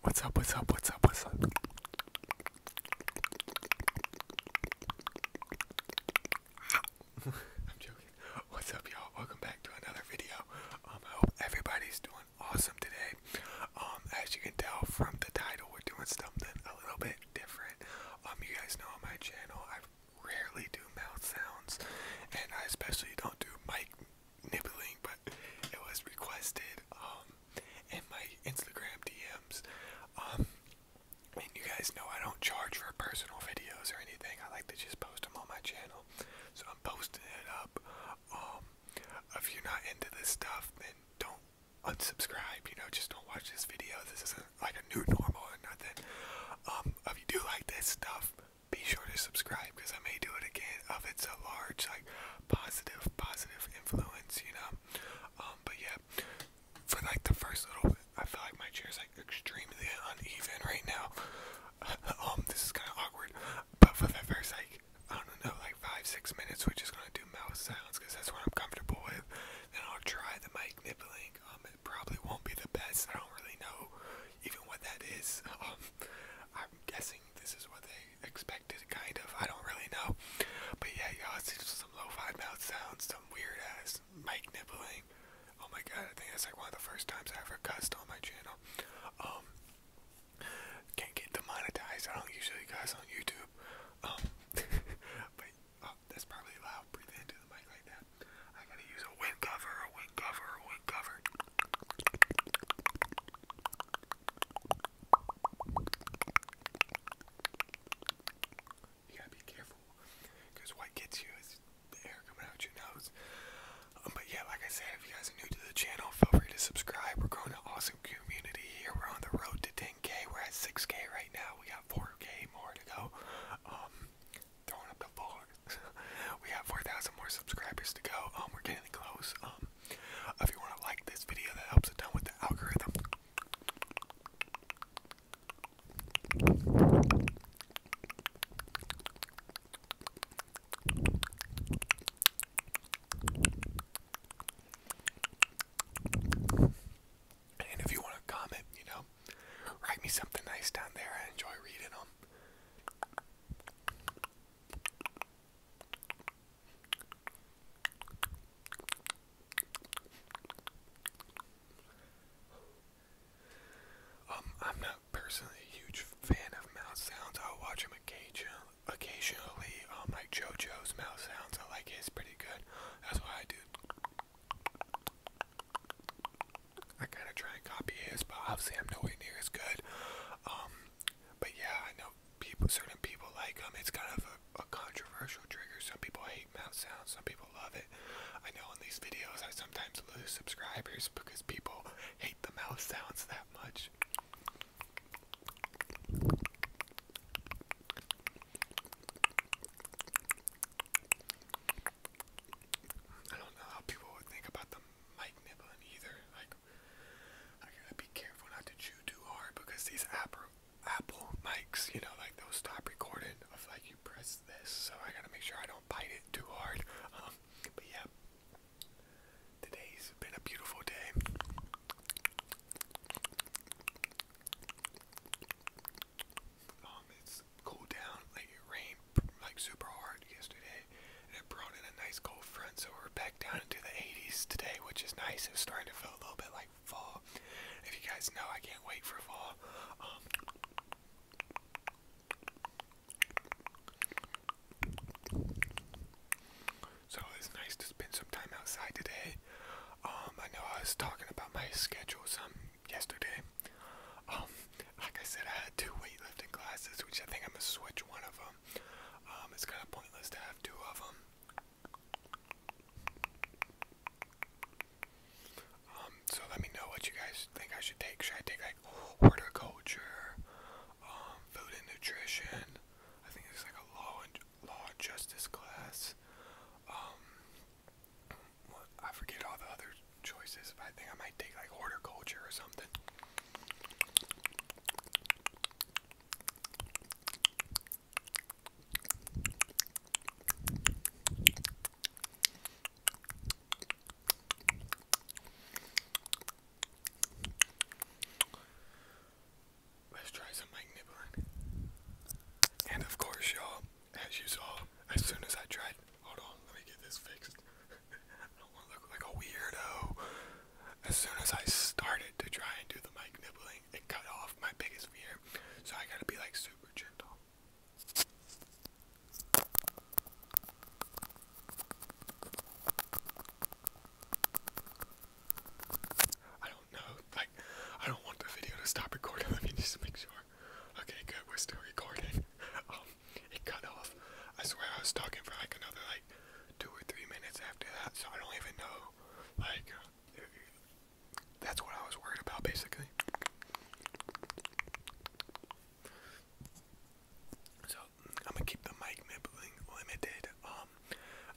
What's up, what's up, what's up, what's up? I'm joking. What's up, y'all? Welcome back to another video. Um, I hope everybody's doing awesome today. Um, as you can tell from the title, we're doing something a little bit different. Um, you guys know on my channel, I rarely do mouth sounds, and I especially don't do mic nibbling, but it was requested um, in my Instagram DMs. Um, and you guys know I don't charge for personal videos or anything. I like to just post them on my channel, so I'm posting it up. Um, if you're not into this stuff, then don't unsubscribe. You know, just don't watch this video. This isn't like a new normal or nothing. if you do like this stuff, be sure to subscribe because I may do it again. If it's a large, like positive, positive influence, you know. Um, but yeah, for like the first little, I feel like my chair's like extremely uneven right now. um, this is kind of awkward. But for the first like, I don't know, like five, six minutes, we're just gonna do mouth sounds because that's what I'm comfortable with. Then I'll try the mic nibbling. Um, it probably won't be the best. I don't really know even what that is. Um, I'm guessing this is what they expected, kind of. I don't really know. But yeah, y'all, it's just some low fi mouth sounds, some weird ass mic nibbling. Oh my god, I think that's like one of the first times I ever cussed on my channel. Um, can't get demonetized. I don't usually cuss on YouTube. Um, but oh, that's probably loud. Breathe into the mic right now yeah. I gotta use a wind cover, a wind cover, a wind cover. You gotta be careful, because what gets you is the air coming out your nose. Um, but yeah, like I said, if you guys are new to the channel, feel free to subscribe. We're growing an awesome community here. We're on the road to 10k. We're at 6k right now. We got 4k more to go. Um, throwing up the floor. we have 4,000 more subscribers to go. Um, we're getting close. Um, if you want to like this video, that helps a ton with the algorithm. And if you want to comment, you know, Write me something nice down there. I enjoy reading them. Um, I'm not personally a huge fan of mouse sounds. i watch them occasionally. Occasionally, um, JoJo's mouse sounds. I like his pretty good. That's why I do. I gotta try and copy his, but obviously I'm nowhere near as good. Um, but yeah, I know people, certain people like him. It's kind of a, a controversial trigger. Some people hate mouth sounds, some people love it. I know in these videos I sometimes lose subscribers because people hate the mouth sounds that much. I don't know how people would think about the mic nibbling either. Like, I gotta be careful not to chew too hard because these Apple Apple mics, you know, like they'll stop recording if like you press this. So I gotta make sure I don't bite it too hard. Um, but yeah, today's been a beautiful day. Um, it's cooled down. it rained like super hard yesterday, and it brought in a nice cold front. So we're back down into the 80s today, which is nice. It's starting to feel a little bit like fall. If you guys know, I can't wait for fall. Um, so it's nice to spend some time outside today. Um, I know I was talking about my schedule some yesterday. Um, like I said, I had two weightlifting classes, which I think I'm gonna switch one of them. Um, it's kind of pointless to have two of them. so let me know what you guys think I should take. Should I take like horticulture, food and nutrition? I think there's like a law law justice class. Um, I forget all the other choices, I think I might take like horticulture or something. Let's try some mic nibbling. And of course, y'all, as you saw, as soon as I tried, hold on, let me get this fixed. I don't want to look like a weirdo. As soon as I started to try and do the mic nibbling, it cut off my biggest fear. So I gotta be like super gentle. I don't know, like, I don't want the video to stop recording. Let me just make sure. Okay, good, we're still recording. Um, it cut off. I swear I was talking for like another, like, two or three minutes after that, so I don't even know. Like, that's what I was worried about, basically. So, I'm gonna keep the mic mibbling limited. Um,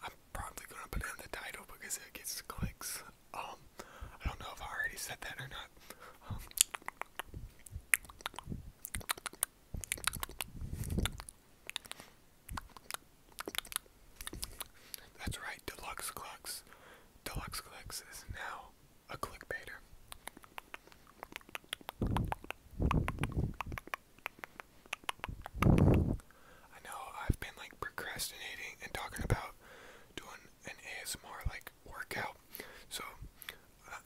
I'm probably gonna put in the title because it gets clicks. Um, I don't know if I already said that or not. Um, that's right, Deluxe Clux. Deluxe Clux is now a clickbaiter. I know I've been like procrastinating and talking about doing an ASMR like workout, so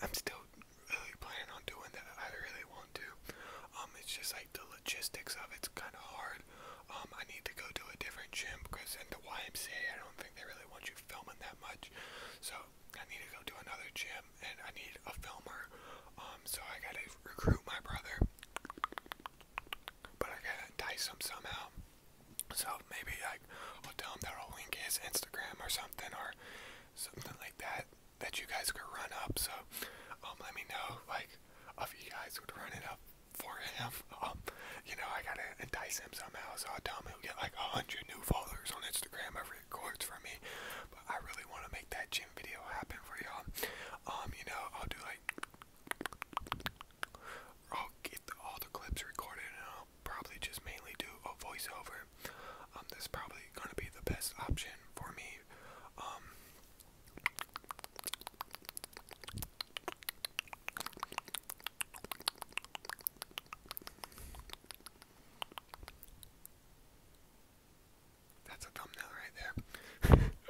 I'm still really planning on doing that. I really want to. Um, it's just like the logistics of it's kind of hard. Um, I need to go to a different gym because in the YMCA, I don't think they really want you filming that much. So I need to go to another gym and I need a filmer. Um, so I gotta recruit my brother. But I gotta entice him somehow. So maybe like I'll tell him that I'll link his Instagram or something or something like that that you guys could run up. So um let me know like if you guys would run it up for him. Um, you know, I gotta entice him somehow, so I'll tell him he'll get like a hundred new followers on Instagram every favorite for me. But I really want to make that gym video happen for y'all. Um, you know, I'll do like I'll get all the clips recorded and I'll probably just mainly do a voiceover. Um, that's probably gonna be the best option for me. Um, that's a thumbnail right there.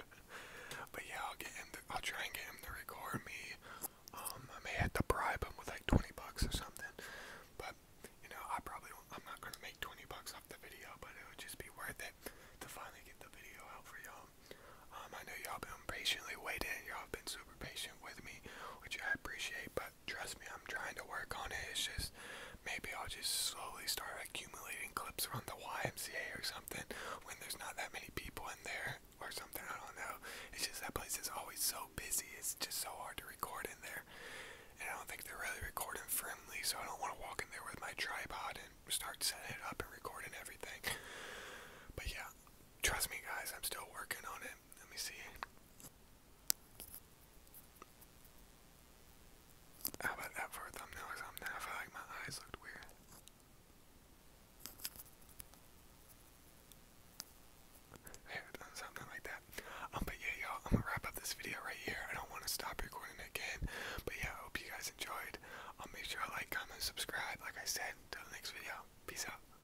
but yeah, I'll get him. To, I'll try and get him to record me. Um, I may have to bribe him with like 20 bucks or something. But you know, I probably won't, I'm not gonna make 20 bucks off the video, but it would just be worth it to finally get the video out for y'all. Um, I know y'all been patiently waiting. Y'all been super patient with me, which I appreciate. But trust me, I'm trying to work on it. It's just maybe I'll just slowly start accumulating clips from the YMCA or something when there's not that many people in there or something. I don't know. It's just that place is always so busy. It's just so hard to record in there. And I don't think they're really recording friendly, so I don't want to walk in there with my tripod and start setting it up and recording everything. But yeah, trust me, guys, I'm still working on it. Let me see. How about that for a thumbnail or something? I feel like my eyes looked weird. Here, done something like that. Um, but yeah, y'all, I'm gonna wrap up this video right here. I don't want to stop recording again. But yeah, I hope you guys enjoyed. I'll um, make sure to like, comment, subscribe. Like I said, till the next video. Peace out.